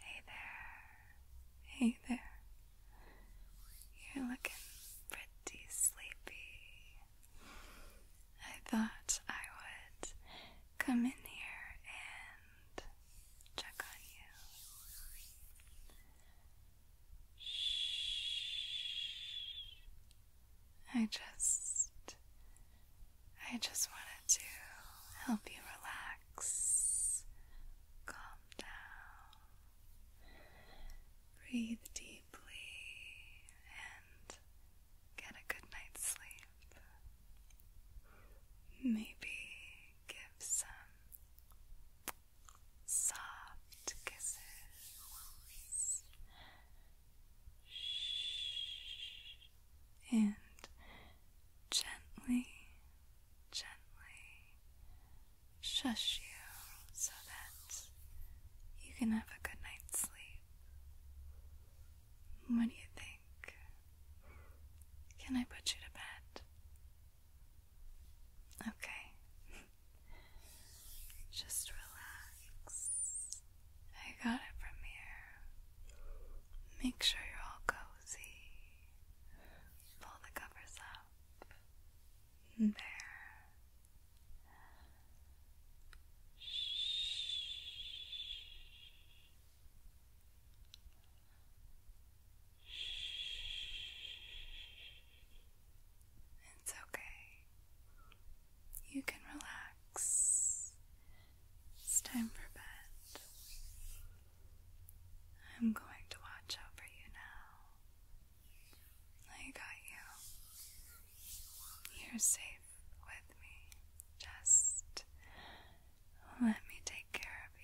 Hey there, hey there. You're looking pretty sleepy. I thought I would come in here and check on you. Shh. I just I just wanted to help you relax, calm down, breathe deeply, and get a good night's sleep. Maybe give some soft kisses. And gently, gently shush you so that you can have a good night's sleep. What do you think? Can I put you to bed? Okay. Just relax. I got it from here. Make sure you're all cozy. Pull the covers up. There. It's okay. You can relax. It's time for bed. I'm going to watch over you now. I got you. You're safe with me. Just let me take care of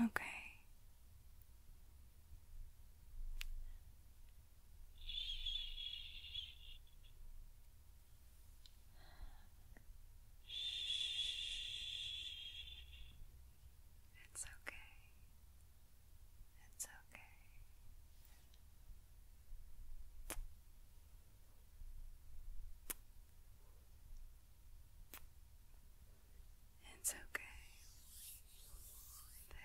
you. Okay. Shh. It's okay. It's okay. It's okay. There. There.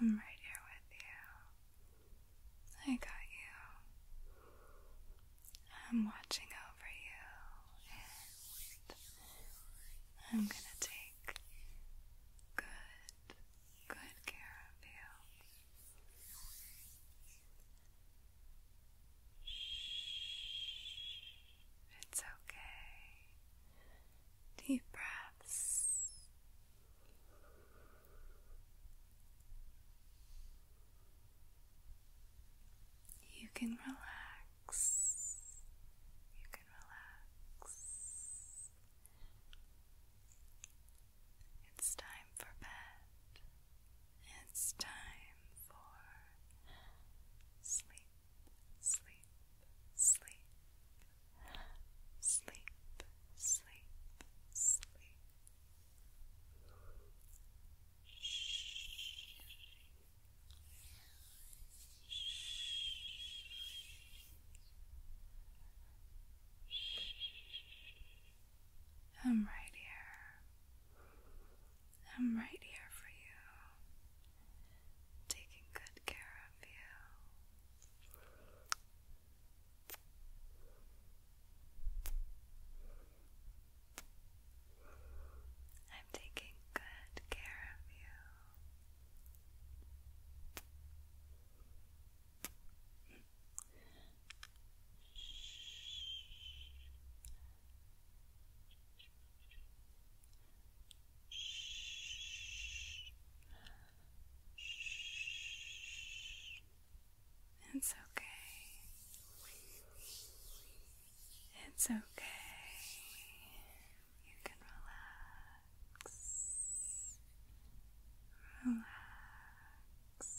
I'm right here with you. I got you. I'm watching over you, I'm gonna take good good care of you. Shh. It's okay. Deep breaths. You can relax. You can relax. It's time for bed. It's time for sleep, sleep, sleep, sleep, sleep, sleep. I'm right here. I'm right here for you. Taking good care of you. I'm taking good care of you. It's okay. It's okay. You can relax relax, relax. Shh. Shh.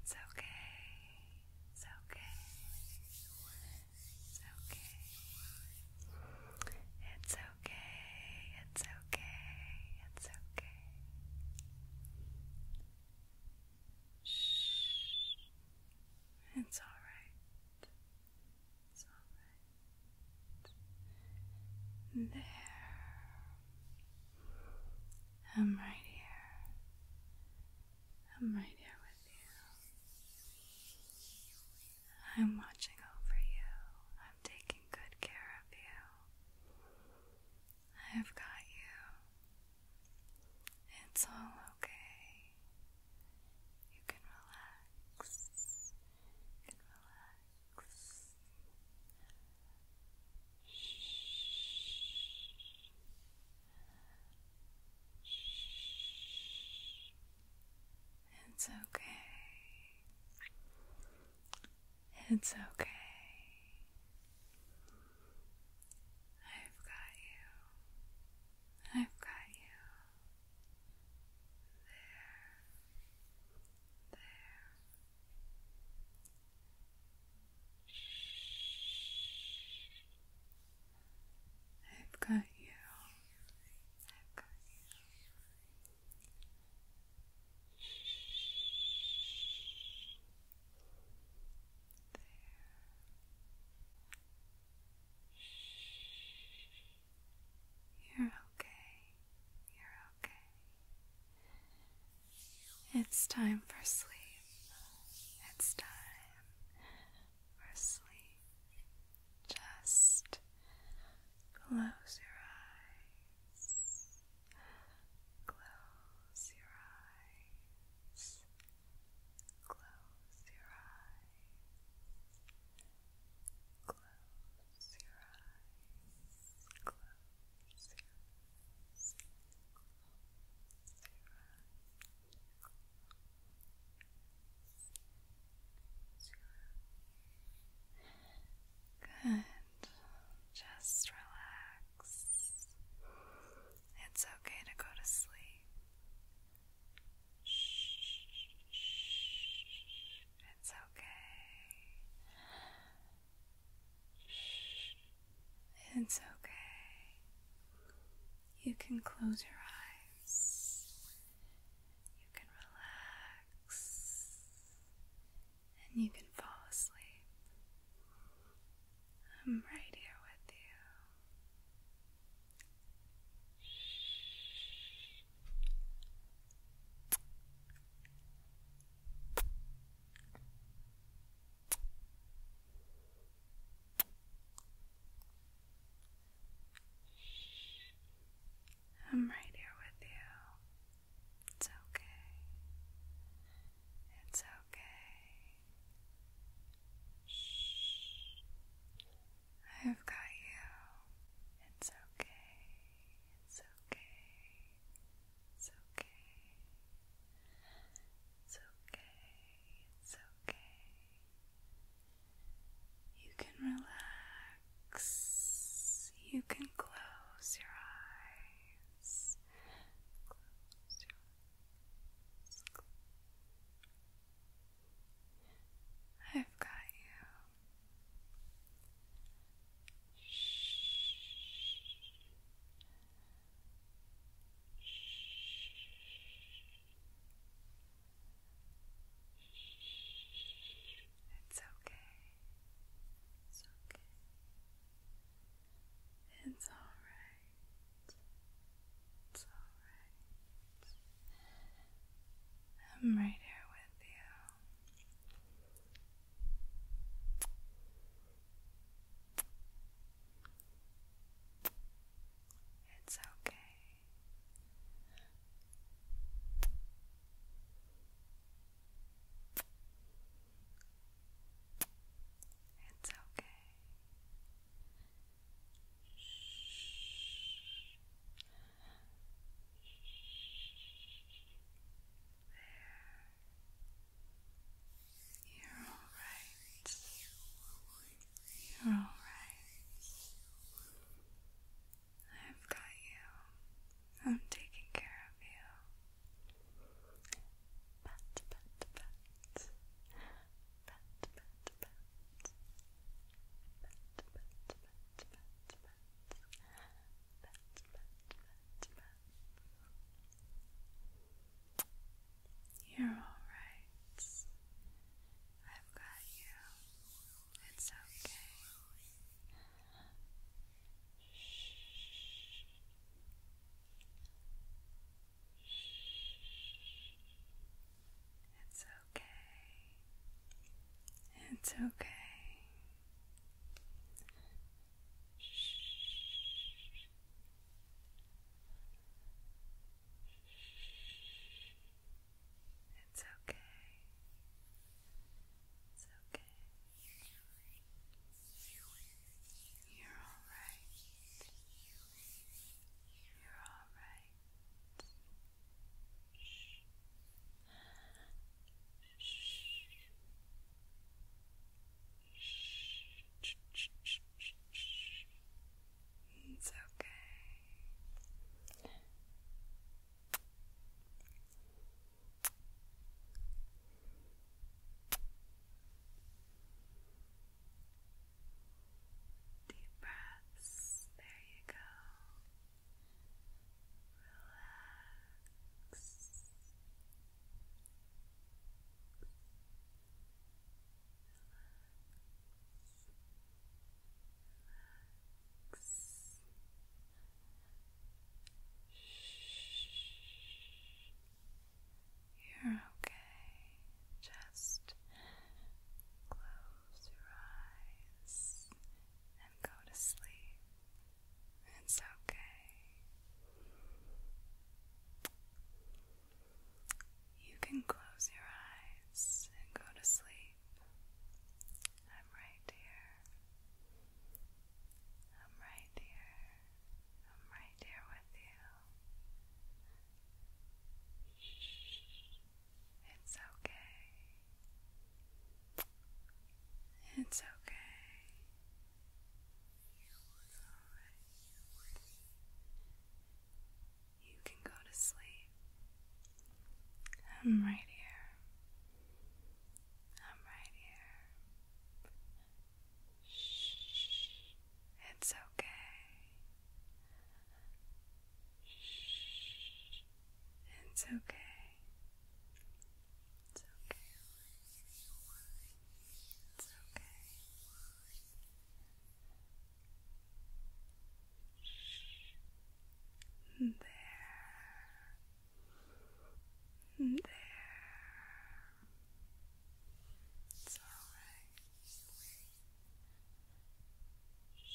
It's okay. It's okay. It's okay. It's okay. It's okay. It's okay. Shh. It's all right. It's all right. There. I'm right here. I'm right here with you. I'm watching over you. I'm taking good care of you. I've got you. It's all okay. You can relax. You relax. It's okay. It's okay. I've got you. I've got you. There. There. I've got you. There. You're okay. You're okay. It's time for sleep. It's time for sleep. Just close your eyes. Close your eyes. Close your eyes. Close your eyes. Good. Just relax. It's okay to go to sleep. It's okay. It's okay. You can close your eyes. You can relax. And you can fall asleep. I'm right here with you. I'm right here with you. It's okay. It's okay. Shh. I've got you. It's okay. It's okay. It's okay. It's okay. It's okay. You can relax. You can close your eyes. I've got you. It's okay. It's okay. It's all right. It's all right. I'm right here with you. It's okay. It's okay. Shh. You're all right. You're all right. I've got you. I'm taking care of you. You're alright. I've got you. It's okay. Shh. Shh. It's okay. It's okay. It's okay. It's okay. You're all right. You're all right. It's okay. Deep breaths. There you go. Relax. Relax. You're okay. Just close your eyes and go to sleep. It's okay. You can close your eyes and go to sleep. I'm right here. I'm right here. I'm right here with you. Shh. It's okay. It's okay. It's alright. You can go to sleep. I'm right here. I'm right here. Shh. It's okay. Shh. It's okay. It's okay. It's okay. There. There. It's all right. Shh.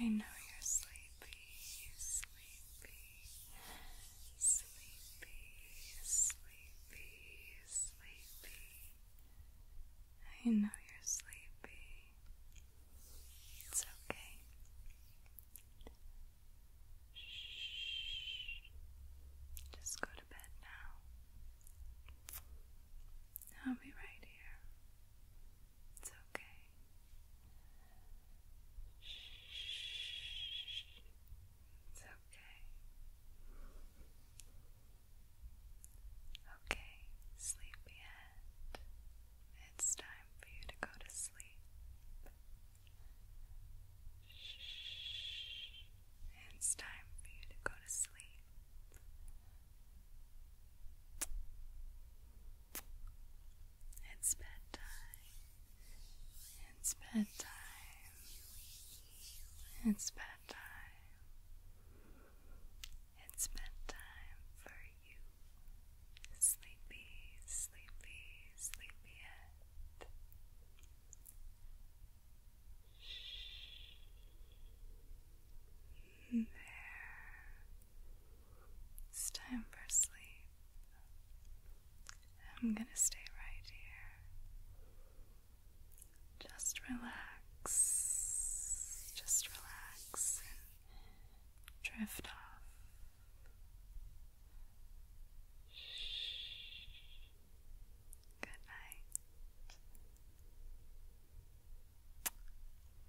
I know you're sleepy, sleepy, sleepy, sleepy, sleepy. I know you're sleepy. It's okay. Shh. Just go to bed now. I'll be right here. It's okay. It's okay. Okay, sleepyhead. It's time for you to go to sleep. It's time for you to go to sleep. It's bedtime. It's bedtime. It's bedtime. It's bedtime for you. Sleepy, sleepy, sleepyhead. There. It's time for sleep. I'm gonna stay right here. Just relax. Just relax and drift off. Good night.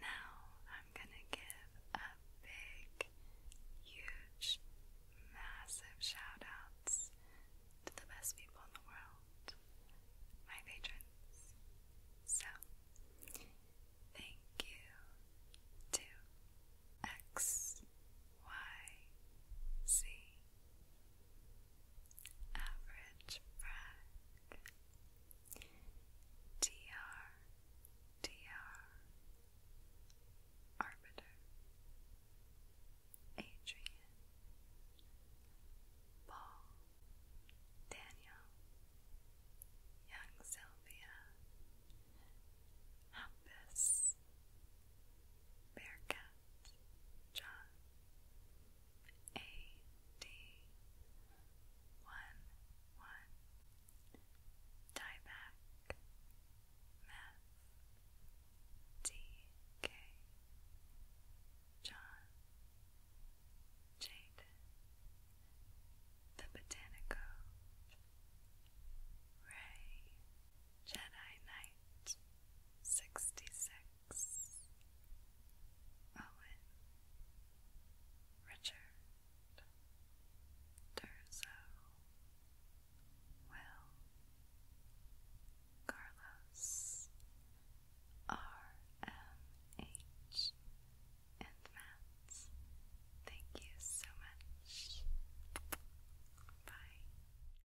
Now I'm gonna give a big, huge, massive shout to the best people in the world, my patrons. So, thank you to X, Y, Z. Average Frag DR DR Arbiter Adrian Paul Daniel Young Sylvia Hampus Berka S John A D one one Dieback Math D K John Jade The Botanico Ray Jedi Knight sixty six Owen, Richard, Durzo, Will, Carlos, RMH, and Matt. Thank you so much. Bye.